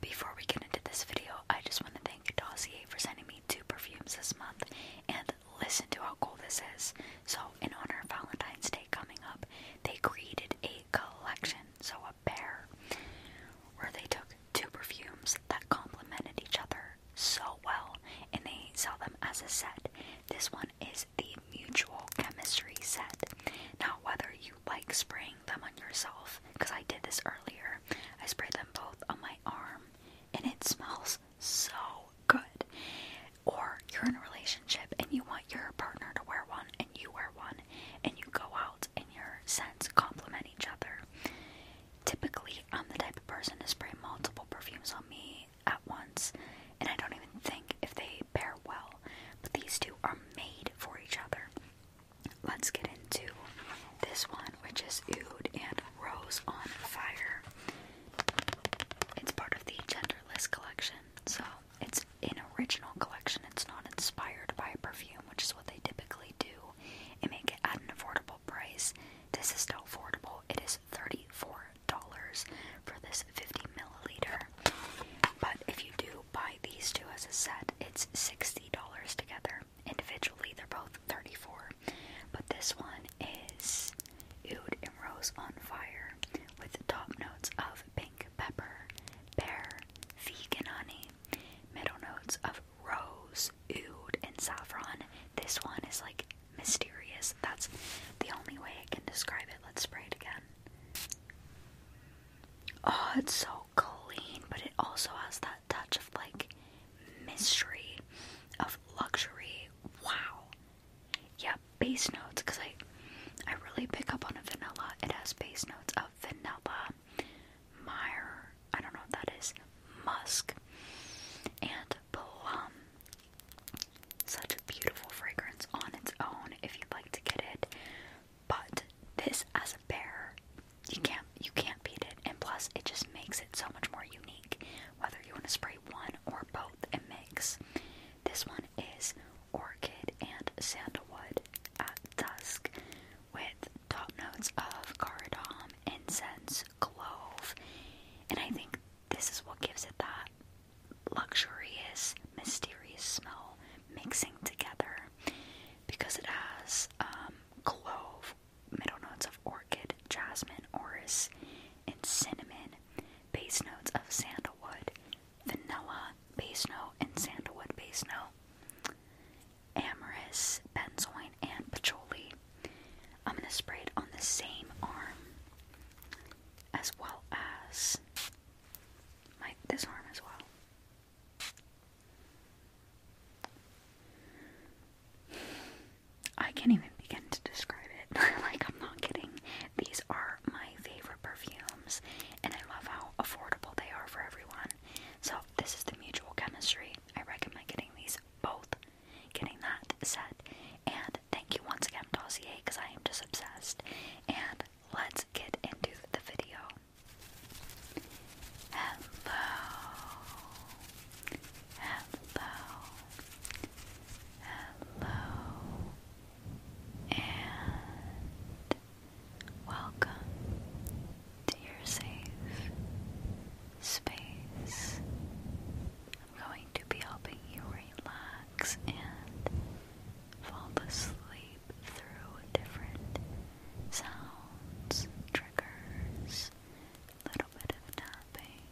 Before we get into this video, I just want to thank Dossier for sending me two perfumes this month, and listen to how cool this is. So, in honor of Valentine's Day coming up, they created a collection, so a pair, where they took two perfumes that complemented each other so well, and they sell them as a set. This one is the Mutual Chemistry set. Now, whether you like spraying them on yourself because I did this earlier. I spray them both on my arm and it smells so good. Or you're in a relationship and you want your partner to wear one and you wear one and you go out and your scents complement each other. Typically, I'm the type of person to spray multiple perfumes on me at once and I don't even think if they pair well, but these two are made for each other. Let's get into this one, which is Oud and Rose on Fire. It's part of the Genderless collection, so it's an original collection. It's not inspired by a perfume, which is what they typically do, and make it at an affordable price. This is still affordable. It is thirty-four dollars for this fifty milliliter. But if you do buy these two as a set, it's $60 together. Individually, they're both 34 But this one is Oud and Rose on Fire with top notes of pink pepper, pear, vegan honey, middle notes of rose, oud, and saffron. This one is like mysterious. That's the only way I can describe it. Let's spray it again. Oh, it's so clean, but it also has that touch of like mystery, of luxury. Wow. Yeah, base notes because I I really pick up on a vanilla. It has base notes of vanilla, mire, I don't know what that is, musk, and plum. Such a beautiful fragrance on its own. If you'd like to get it, but this as a bear, you can't you can't beat it. And plus it just makes it so much more unique. Whether you want to spray one or both, it makes. This one is Orchid and Sandalwood at dusk with top notes of cardamom, incense, clove. And I think this is what gives it that luxurious, mysterious smell mixing together because it has um, clove, middle notes of orchid, jasmine, orris, and cinnamon, base notes of sandalwood, vanilla, base note, and sandalwood base note, amorous, benzoin, and patchouli. I'm going to spray it on the same arm as well as my this arm as well. I can't even begin to describe it. like, I'm not kidding. These are my favorite perfumes, and I love how affordable they are for everyone. So, this is the Mutual Chemistry. I recommend getting these both, getting that set. And thank you once again, Dossier, because I am just obsessed. And let's get into the video. Hello. Hello. Hello. And welcome to your safe space. I'm going to be helping you relax and fall asleep through different sounds, triggers, a little bit of tapping,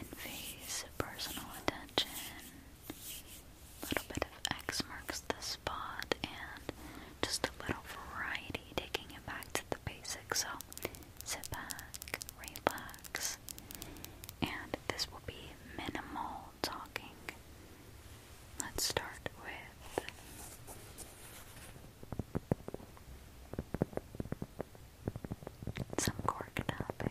envies personal attention, little bit of X marks the spot, and just a little variety, taking it back to the basics. So sit back, relax, and this will be minimal talking. Let's start with some cork tapping.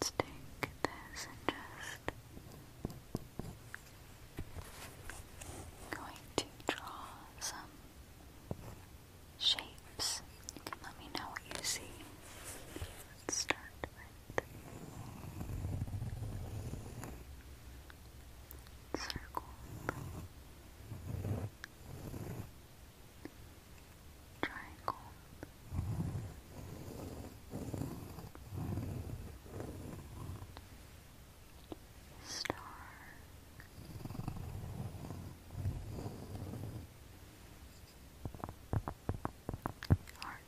Let's take this and just going to draw some shapes. You let me know what you see. Let's start with circle triangle. Star Heart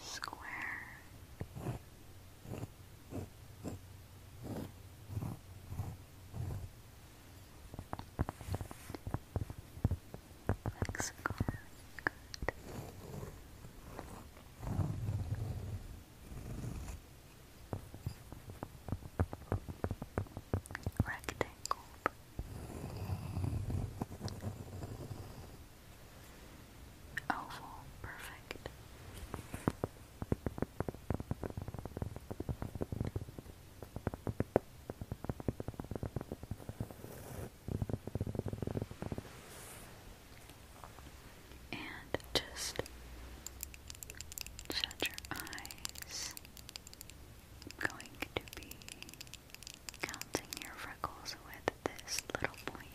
Square Mexico. Good. Rectangle. Oval, perfect. And just shut your eyes. going to be counting your freckles with this little point.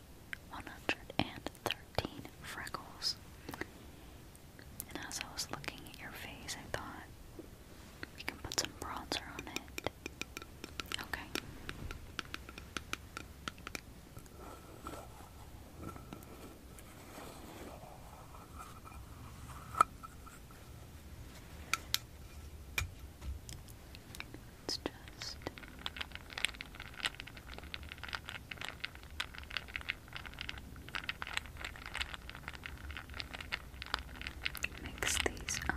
113 freckles. And as I was looking at your face, I thought we can put some bronzer on it. Okay. It's just Mix these up.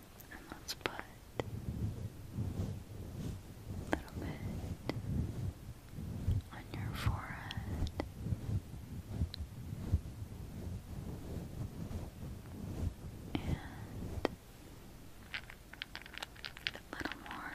and let's put a bit on your forehead. And a little more.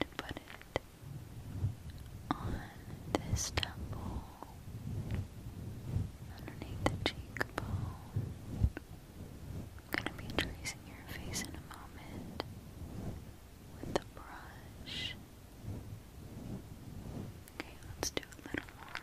to put it on this temple, underneath the cheekbone. I'm going to be tracing your face in a moment with the brush. Okay, let's do a little more.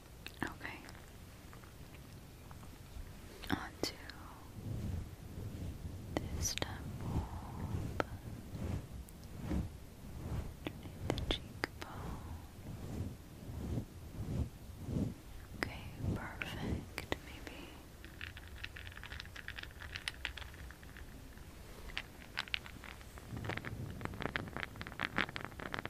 Okay. Onto this temple, underneath the cheekbone. Okay, perfect. Maybe.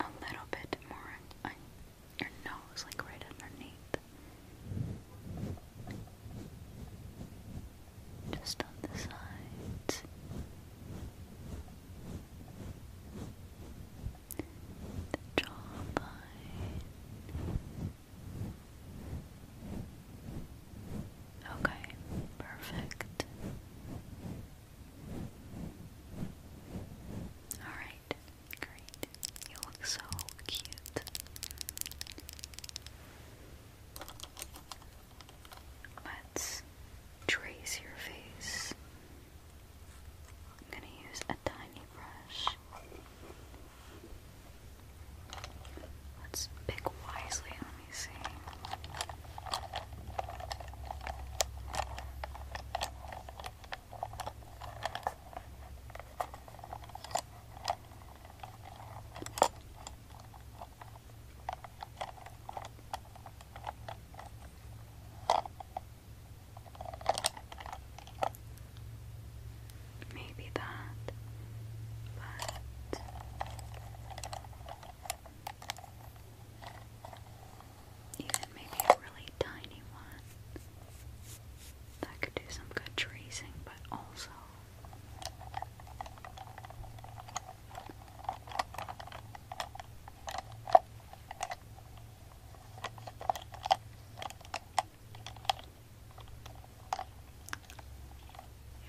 A little bit more on, your nose, like right underneath. Just on the sides. The jawline. Okay, perfect. Alright, great. You look so cute. Let's trace your face. I'm gonna use tiny brush. Let's pick wisely, let me see. Maybe that, but even maybe a really tiny one that could do some good tracing, but also.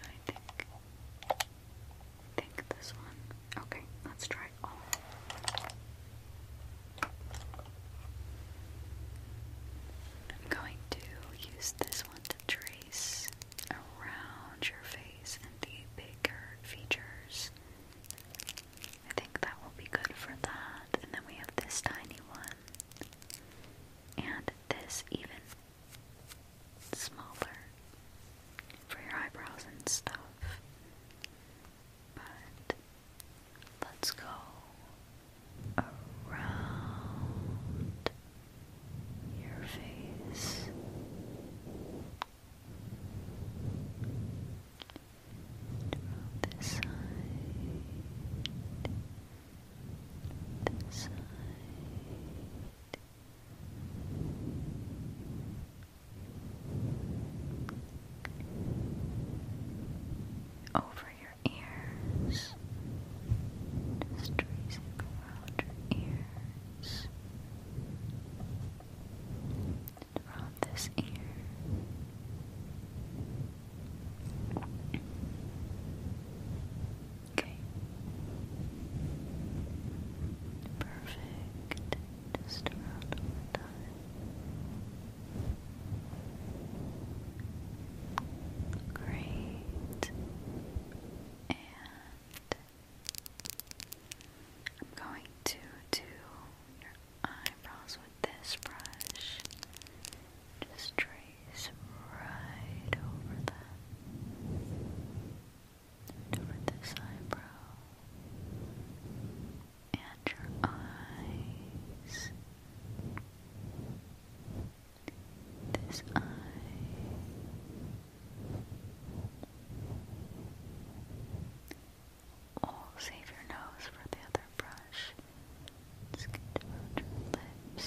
I think think this one. Okay, let's try I'm going to use this one to trace around your face and the bigger features. I think that will be good for that. And then we have this tiny one and this even smaller for your eyebrows and stuff. But let's go around your face. this side this side over your ears, just tracing around your ears, around this ear, Okay. Perfect. Just around one time. Great. And I'm going to do your eyes eyebrows with this brush. Just trace right over that. Over this eyebrow. And your eyes. This eye. we save your nose for the other brush. It's your lips.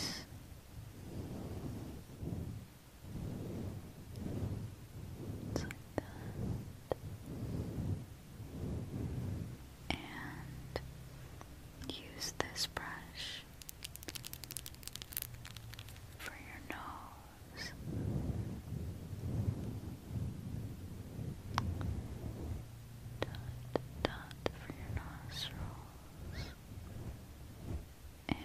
And use this brush for your nose dot dot for your nostrils and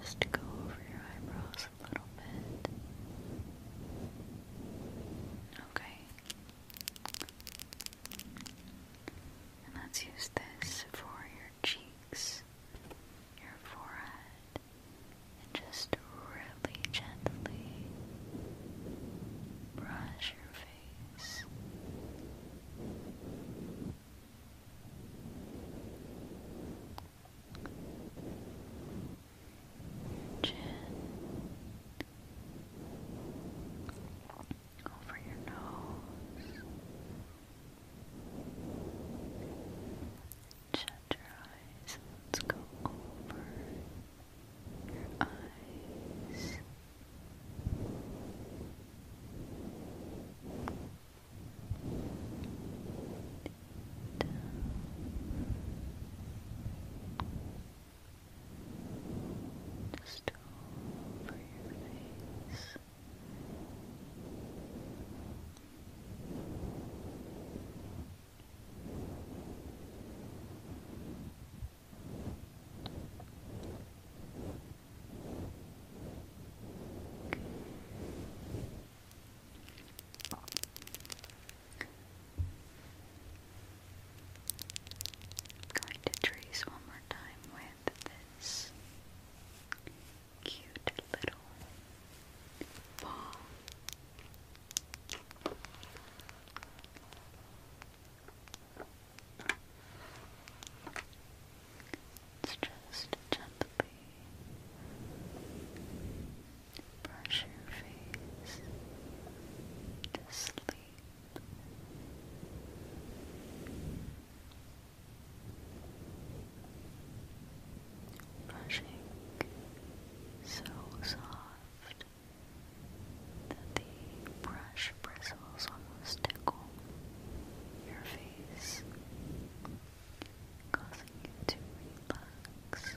just go over your eyebrows a little bit. Okay. And let's use this for your cheeks, your forehead, and just really gently brush your face. Chin over your nose. Shut your eyes. Let's go over your eyes. Down. Just over your face. I'm going to trace one more time with this cute little ball it's just gently brush your face to sleep. Brushing so soft that the brush bristles almost tickle your face, causing you to relax.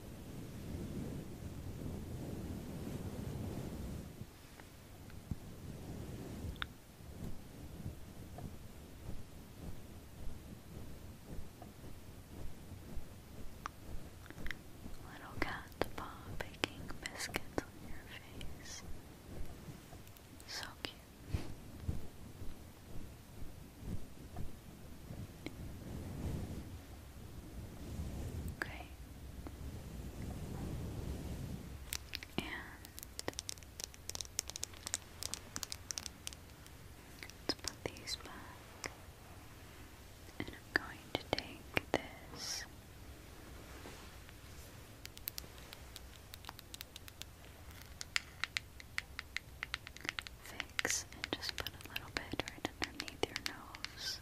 Little cat's paw baking biscuits on your face. So cute. Okay. And let's put these back. And I'm going to take this. Fix and just put a little bit right underneath your nose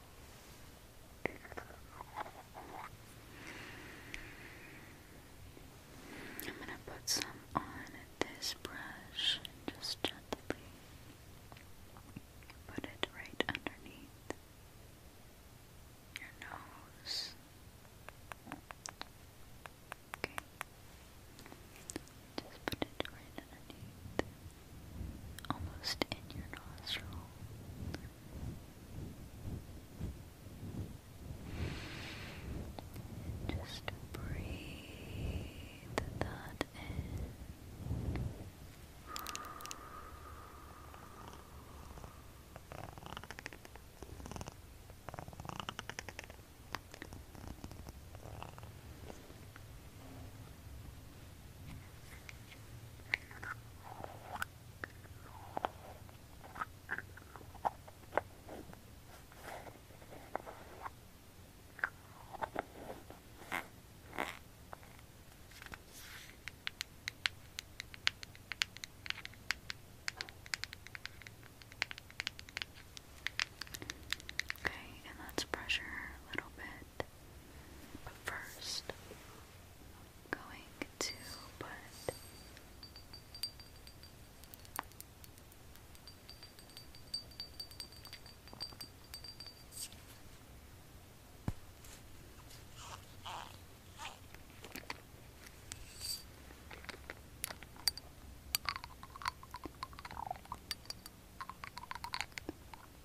I'm going to put some on this brush just gently put it right underneath your nose. Okay. Just put it right underneath almost in your nostril. just breathe that in. Okay, and let's pressure a little bit. But first, I'm going to put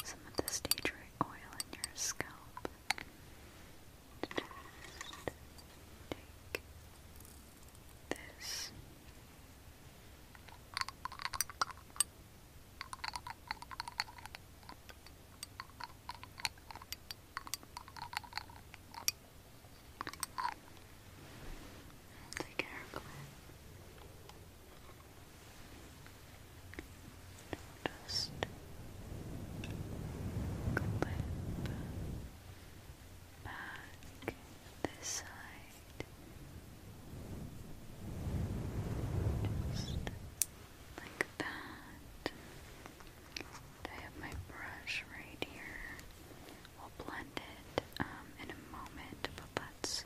some of this tea right oil in your scalp. take this. Take care of it. Just clip back this side. Just like that. I have my brush right here. We'll blend it um, in a moment, but let's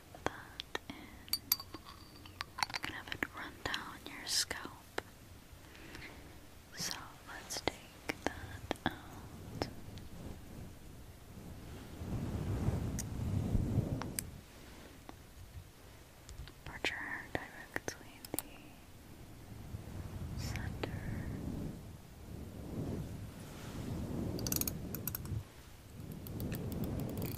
that in. You can have it run down your scalp. So let's take that out. Put your hair directly in the center.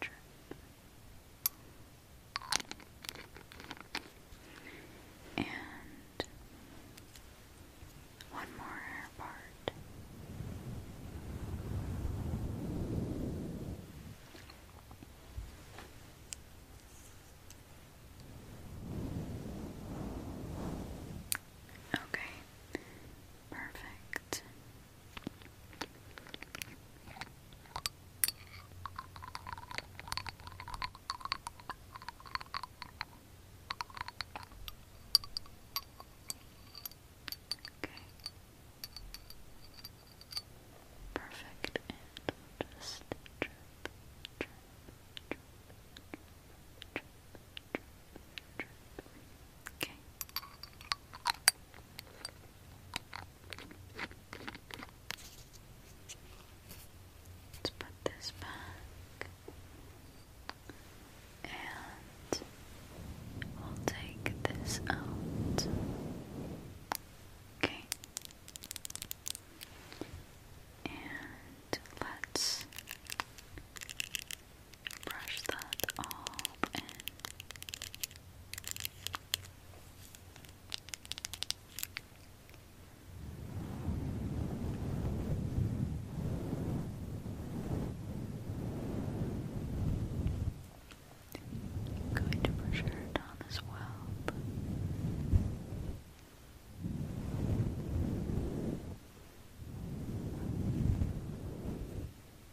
trip. And one more part. Okay, perfect. Perfect, and just drip, drip, drip, drip, drip, Okay. Let's put this back. And we'll take this out. Okay. And let's brush that all in. going to brush her down as well.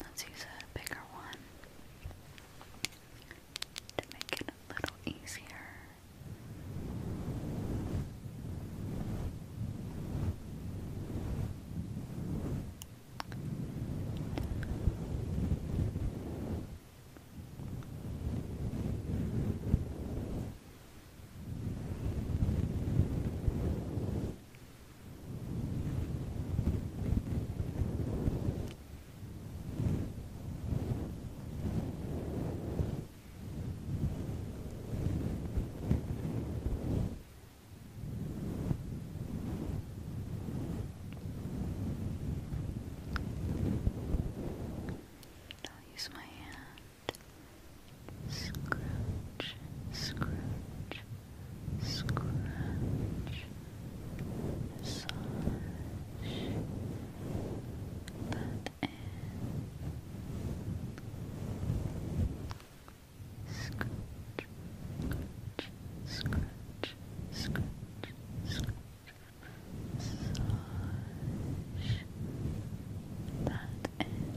Let's use a bigger one to make it a little easier. I'll use my hand. Scrooge, scrooge, scratch, massage that in scratch, scratch, scratch, scratch, massage that in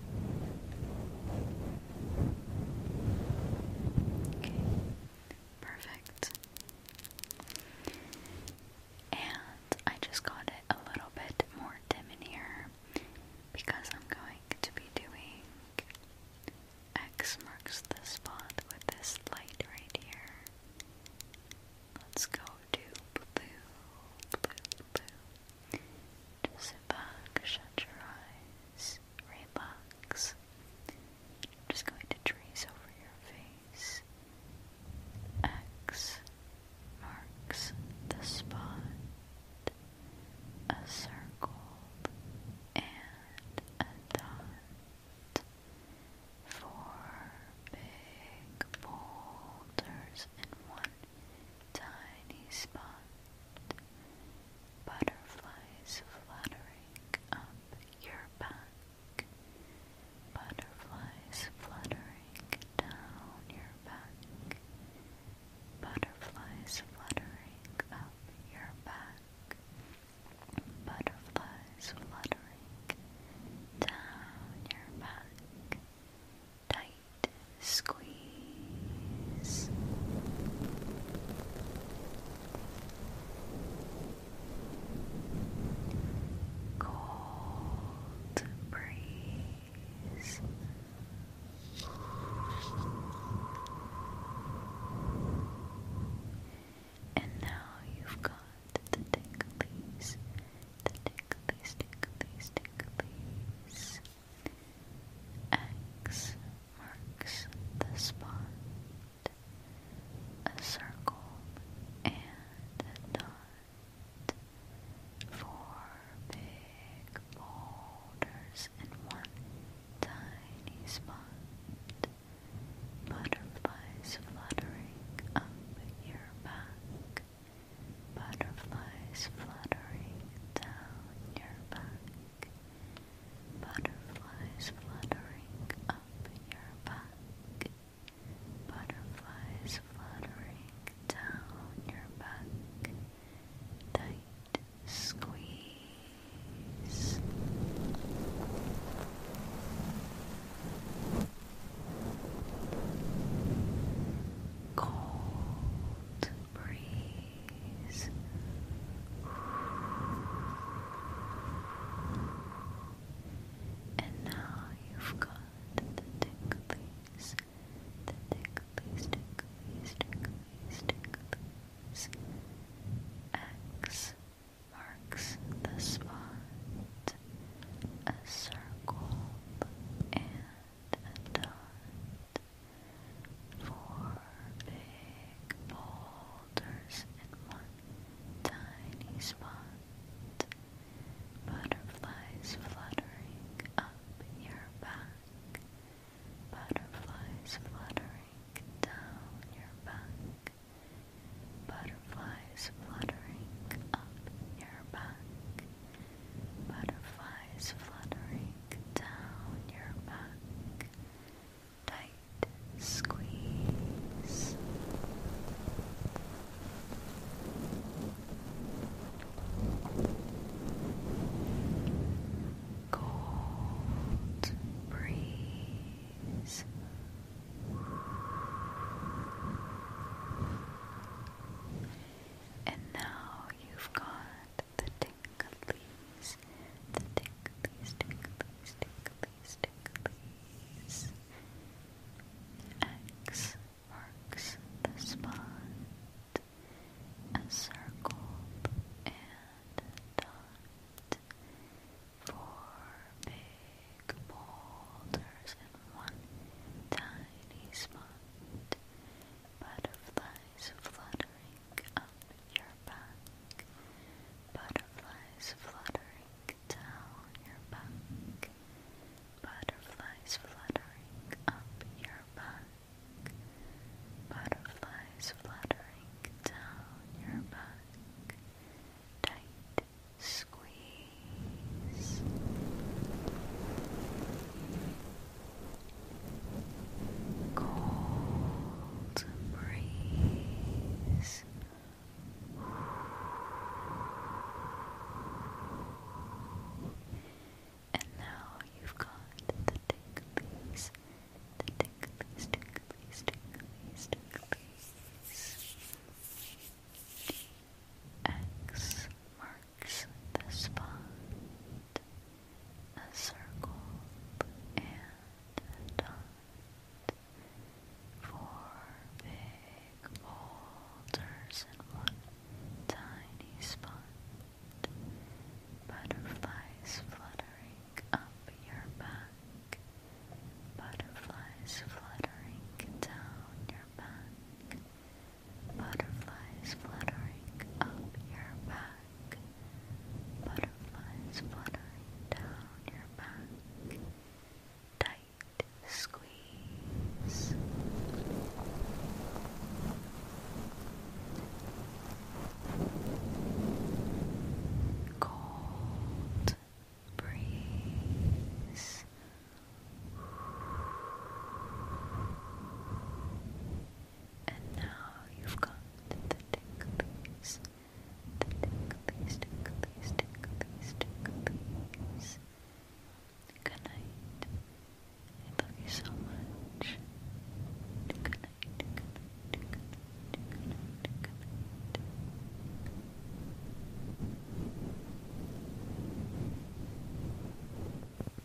perfect. And I just got it a little bit more dim in here because I'm going to be doing X marks the spot with this light right here. Let's go to blue, blue, blue, just sit back, shut your eyes, relax. I'm just going to trace over your face. X marks the spot, a circle, and a dot. Four big boulders in one tiny spot, butterflies fluttering up your back, butterflies fluttering down your back, butterflies fluttering up your back, butterflies fluttering down your back tight squeeze. Cold breeze. And now you've got the ticklies, the ticklies, these, take these, take these. X marks the spot, a circle and a dot. Four big boulders in one tiny spot. Butterflies fluttering up your back. Butterflies fluttering down your back. Butterflies fluttering up your back. Butterflies fluttering down your back. Tight squeeze cold breeze. And now you've got the ticklies, the ticklies, ticklies, ticklies, ticklies. X marks the spot, a circle, and and big boulders in one tiny spot, butterflies fluttering up your back, butterflies fluttering down your back, butterflies fluttering up your back butterflies fluttering down your back. Tight squeeze. Cold breeze. And now you've got the ticklies, the ticklies, ticklies, ticklies, ticklies. X marks the spot, a circle and a dot. Four big boulders in one tiny spot. Butterflies fluttering up your back. Butterflies fluttering down your back. Butterflies fluttering up your back. Butterflies fluttering down your back. Tight squeeze. Cold breeze. And now you've got the ticklies, the ticklies, ticklies, ticklies, ticklies. X marks the spot, a circle and a dot, four big boulders in one tiny spot, butterflies fluttering up your back, butterflies fluttering down your back. Butterflies fluttering up your back. Butterflies fluttering down your back. Tight squeeze. Cold breeze and now you've got the ticklies, the ticklies, ticklies, ticklies, ticklies. Good night. I love you so much. Good night, good night, good night, good night, good night. Good night.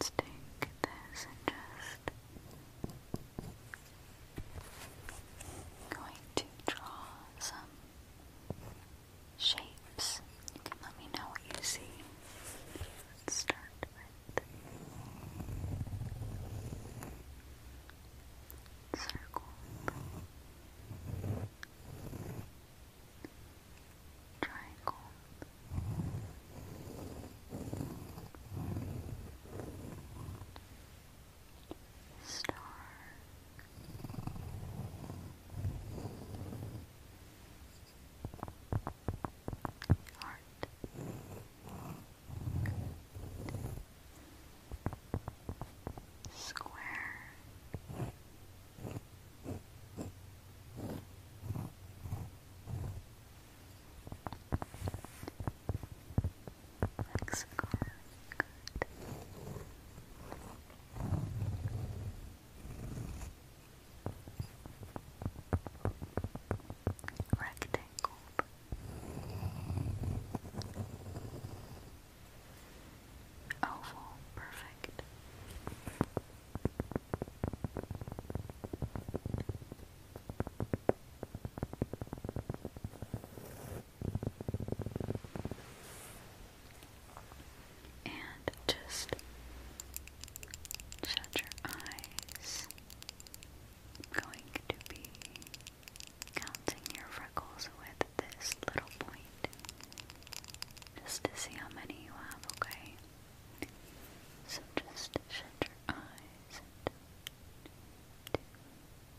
Let's take this and just going to draw some shapes. You can let me know what you see. Let's start with circle. Triangle star. Heart. Square. Mexico. Good. Rectangle. Oval. Perfect. And just shut your eyes. I'm going to be counting your freckles with this little point just to see how many you have, okay? so just shut your eyes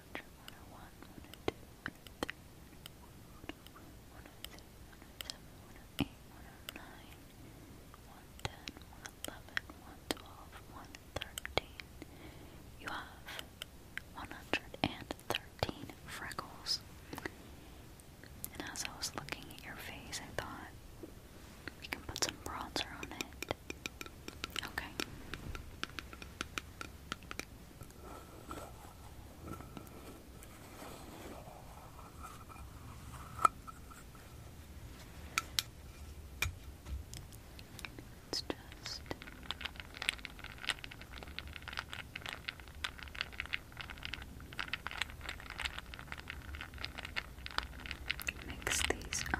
Assumption You have 113 freckles. And as I was looking at your face, I thought we can put some bronzer on it. Okay. It's just mix these up.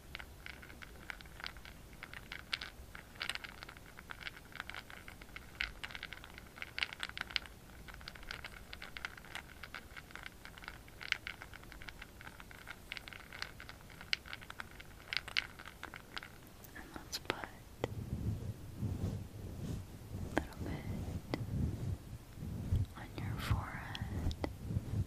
And let's put a little bit on your forehead.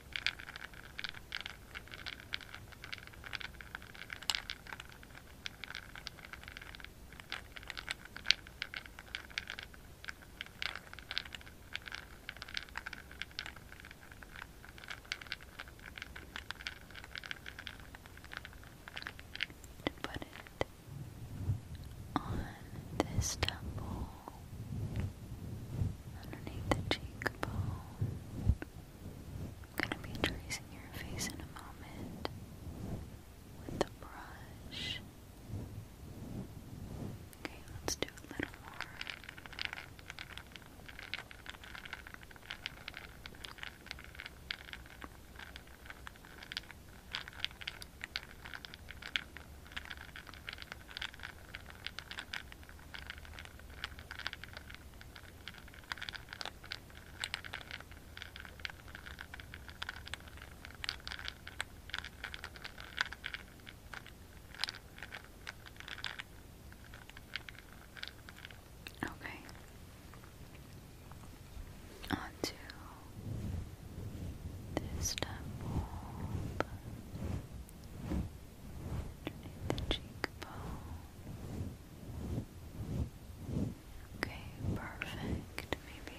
to put it on this temple underneath the cheekbone I'm going to be tracing your face in a moment with the brush. Okay, let's do a little more. Okay. On to this step underneath the cheekbone. Okay, perfect. Maybe.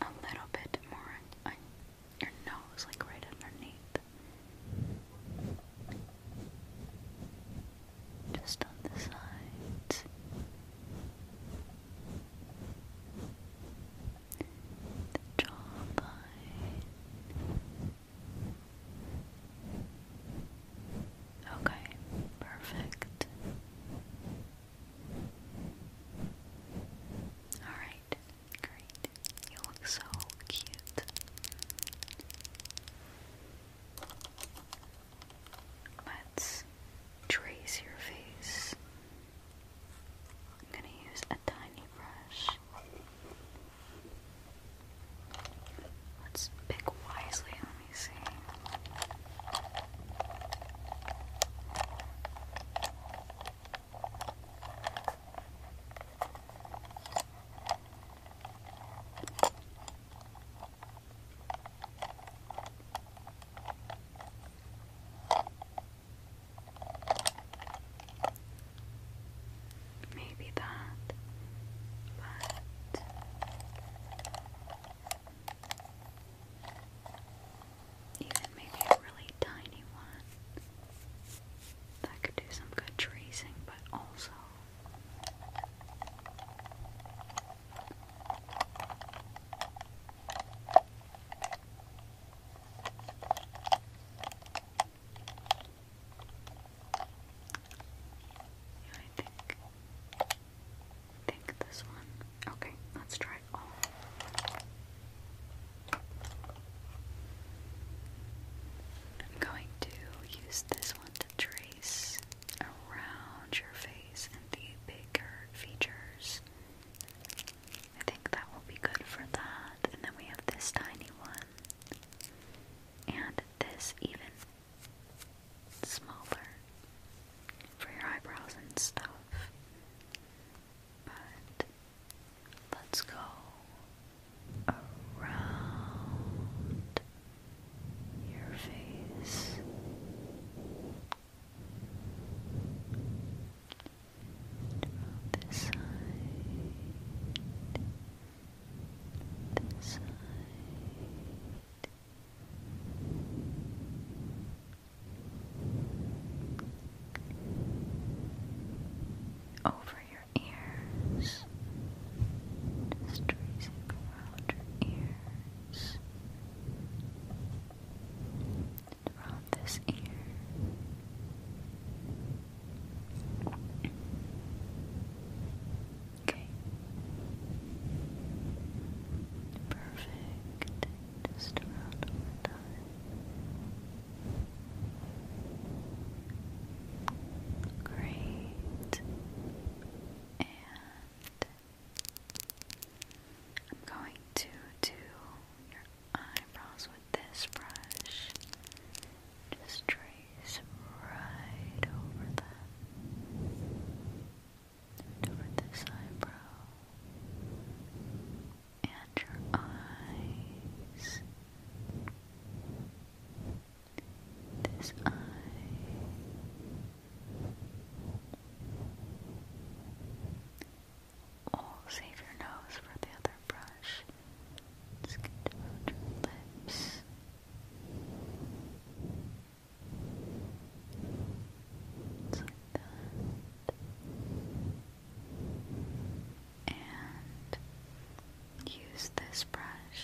a little bit more your nose, like right underneath. Just on the sides. The jawline. Okay, perfect. Alright, great. You look so cute. Let's trace your face. I'm going to use a tiny brush. Let's pick wisely, let me see. Maybe that, but even maybe a really tiny one that could do some good tracing, but also yeah, I think they this one. Okay, let's try all. I'm going to use this one to trace around your face and the bigger features. I think that will be good for that. And then we have this tiny one. And this even smaller for your eyebrows and stuff let's go around your face. Around this side. This side over your ears, tracing around your ears, around this ear. Okay. Perfect just around over time. Great. And I'm going to do your eyebrows with this brush. Just trace right over them over this eyebrow and your eyes this eye we save your nose for the other brush. Just get around your lips. Just like that and use this brush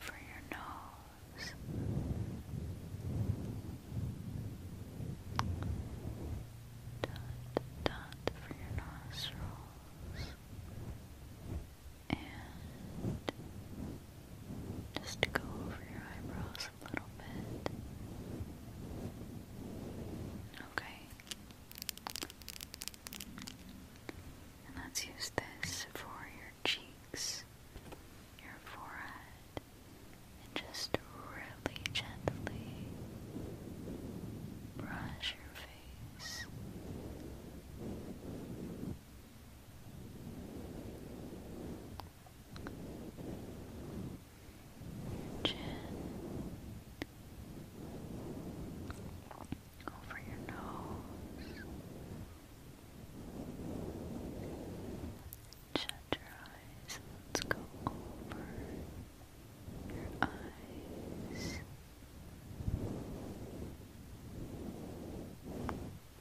for your nose. Dot, dot for your nostrils. And just go over your eyebrows a little bit. Okay. And let's use this for your cheeks, your forehead, and just really gently brush your face chin, over your nose, shut your eyes. Let's go over your eyes.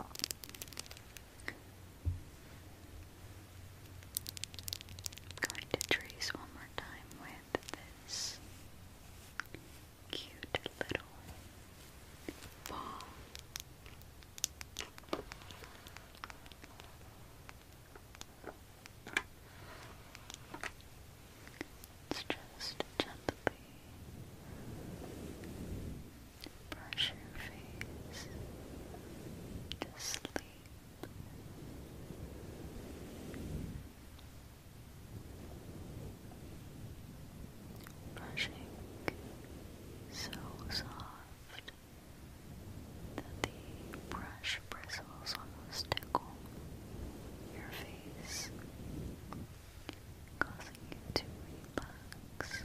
I'm going to trace one more time with this cute little ball. It's just gently brush your face to Brushing so soft that the brush bristles almost tickle your face causing you to relax.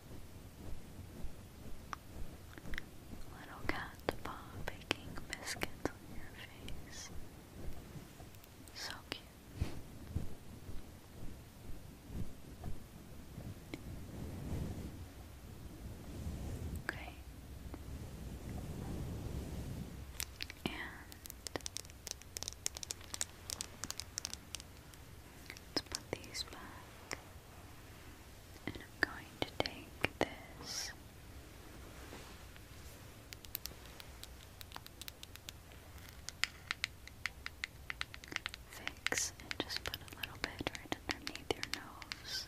Little cat's paw baking biscuits on your face. So cute. Okay. And Let's put these back. And I'm going to take this. Fix and just put a little bit right underneath your nose.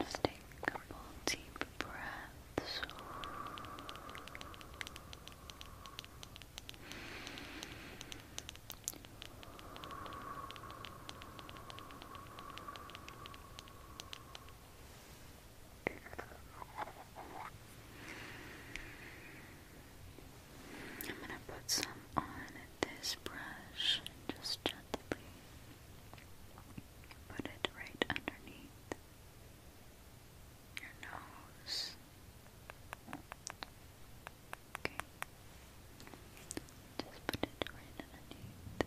Just take a couple deep breaths. I'm going to put some on this brush just gently put it right underneath your nose. Okay. Just put it right underneath,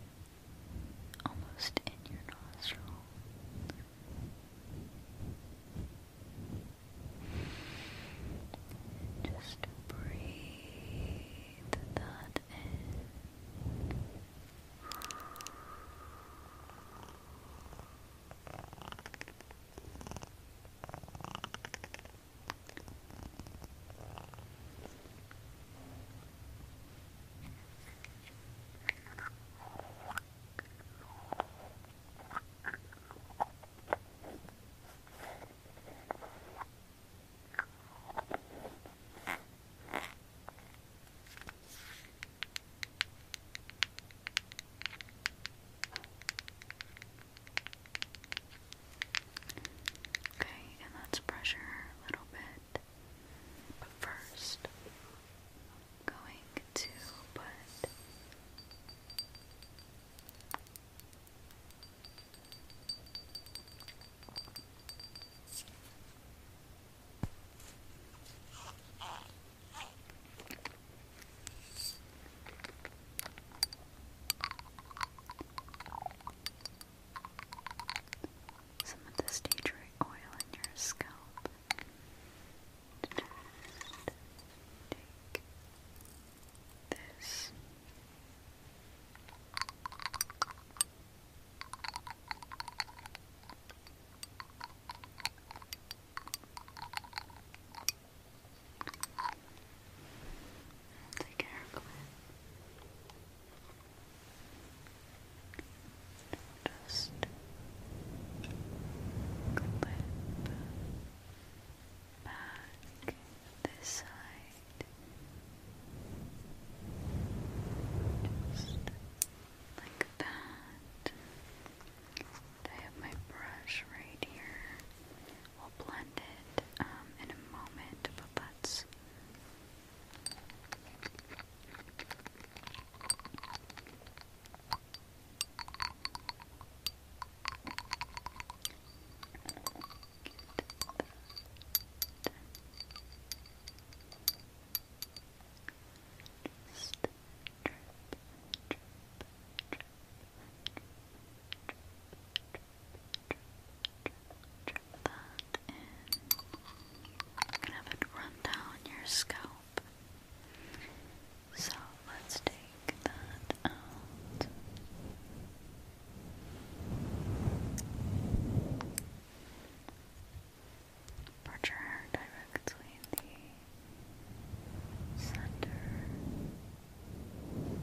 almost in your nostril. Just breathe breathe that Okay, and let's pressure a little bit. But first, I'm going to put some of this tea tree oil in your scalp this. Take care of Just clip back this side just like that I have my brush right here we'll blend it um, in a moment but let and have it run down your scalp. So let's take that out. Pressure directly in the center. Okay.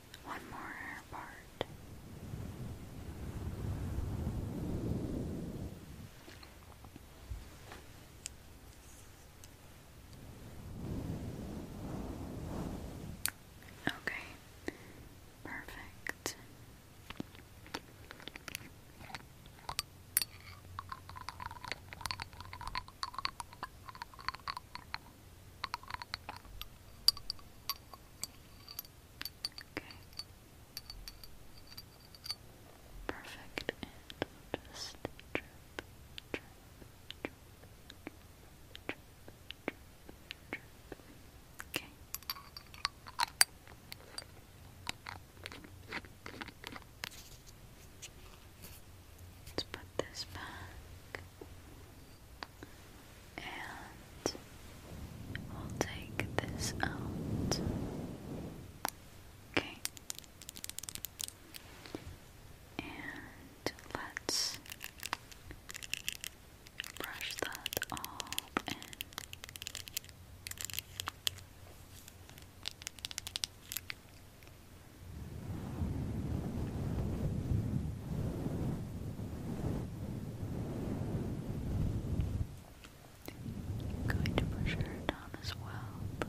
one more part. Okay, perfect. Okay. Perfect. just drip, drip, drip, drip, drip, drip. Okay. Let's put this back. And we'll take this out. Okay. And let's brush that all in. I'm going to push her down as well. Good.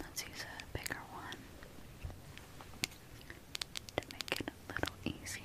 Let's use a bigger one to make it a little easier.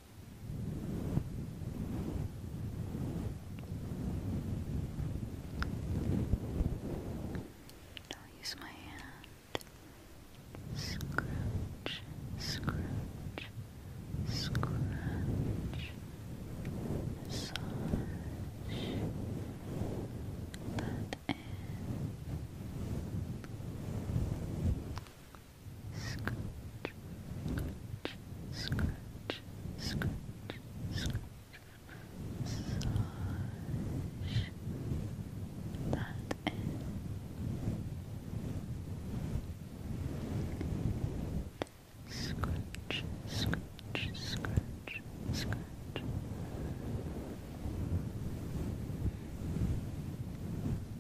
I'll use my hand. Scrunch, scrunch, scrunch. Massage scratch, scratch, scratch, scratch, massage that Scratch, scratch, scratch, scratch.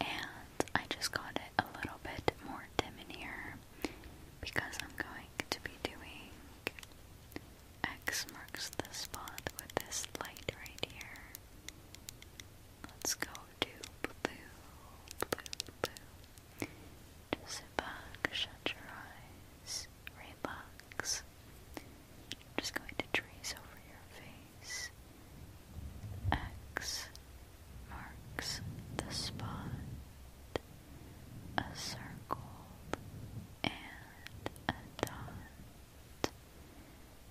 and I just got it a little bit more dim in here because I'm going to be doing X marks the spot with this light right here. Let's go to blue, blue, blue. Just sit back, shut your eyes, relax. I'm just going to trace over your face. X marks the spot. A circle and a dot.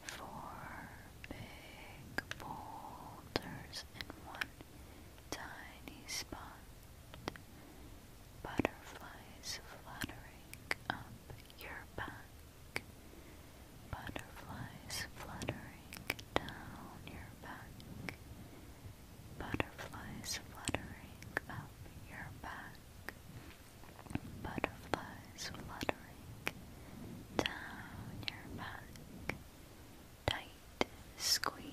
Four big boulders in one tiny spot. Butterflies fluttering up your back. Butterflies fluttering down your back. Butterflies fluttering up your back. Butterflies fluttering down your back. Tight squeeze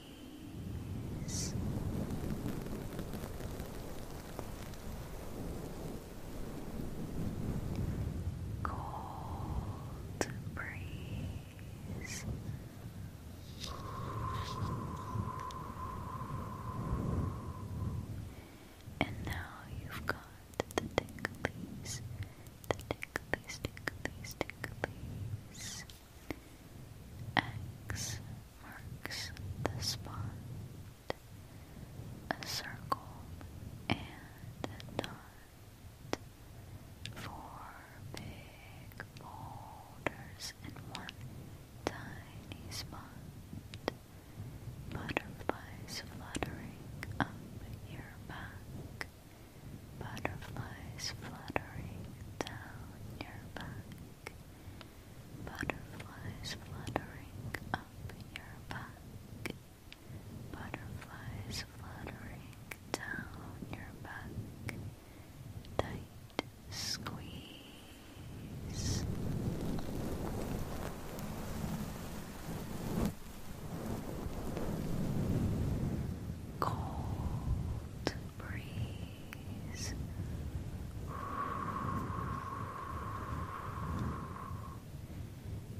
cold breeze. And now you've got the ticklies, the ticklies, ticklies, ticklies. X marks the spot a circle and a dot Four big boulders and one tiny spot. Butterflies fluttering up your back. Butterflies fluttering down your back. Butterflies fluttering up your back. Butterflies fluttering down your back. Tight squeeze. Cold breeze.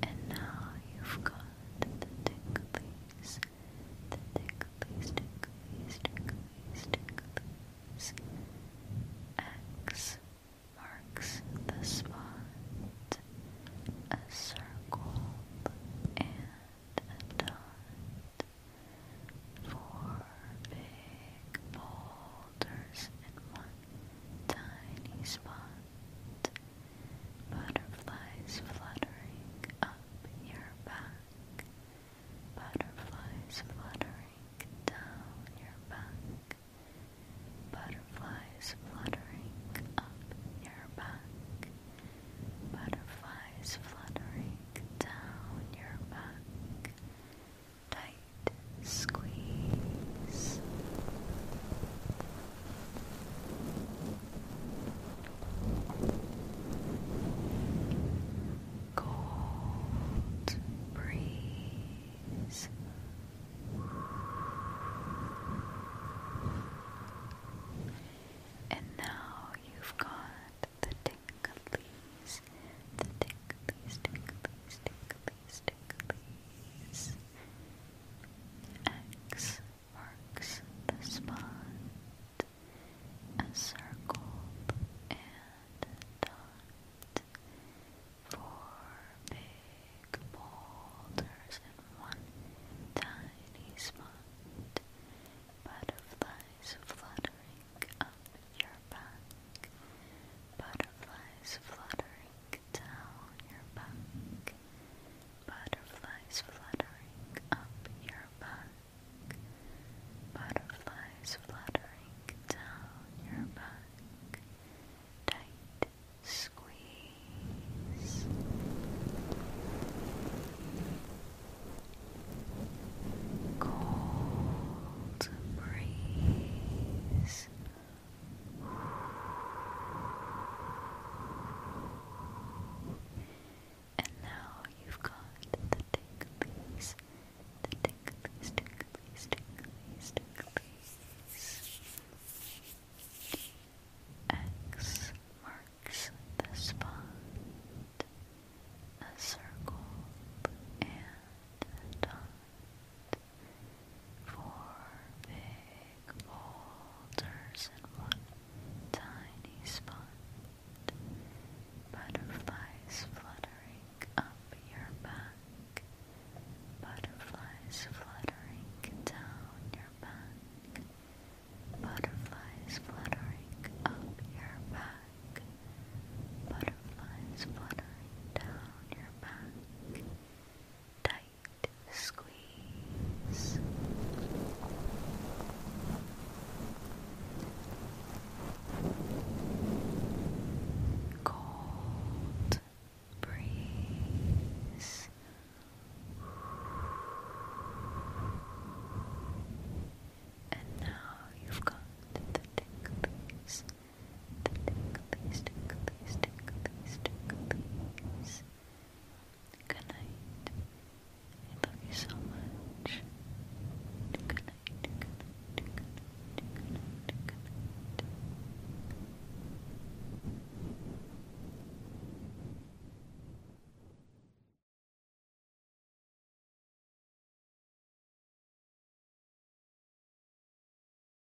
And now you've got the ticklies, the ticklies, ticklies, ticklies, ticklies. X marks the spot, a circle and a dot. Four big boulders and one tiny spot, butterflies fluttering up your back, butterflies fluttering down your back, butterflies fluttering up your back, butterflies fluttering down your back. Tight squeeze. Cold breeze. And now you've got the ticklies, the ticklies, ticklies, ticklies, ticklies. X marks the spot, a circle and dot, four big boulders in one tiny spot, butterflies fluttering up your back, butterflies fluttering down your back, butterflies fluttering up your back, butterflies fluttering down your back, tight squeeze. Cold breeze and now you've got the ticklies, the ticklies, ticklies, ticklies, ticklies. X marks the spot, a circle, and a four big boulders and one tiny spot. Butterflies fluttering up your back. Butterflies fluttering down your back. Butterflies fluttering up your back. Butterflies fluttering down your back. Tight squeeze. Cold breeze. And now you've got the ticklies Ticklies, ticklies, ticklies, ticklies. Good night. I love you so much. Good night, good night, good night, good night, good night.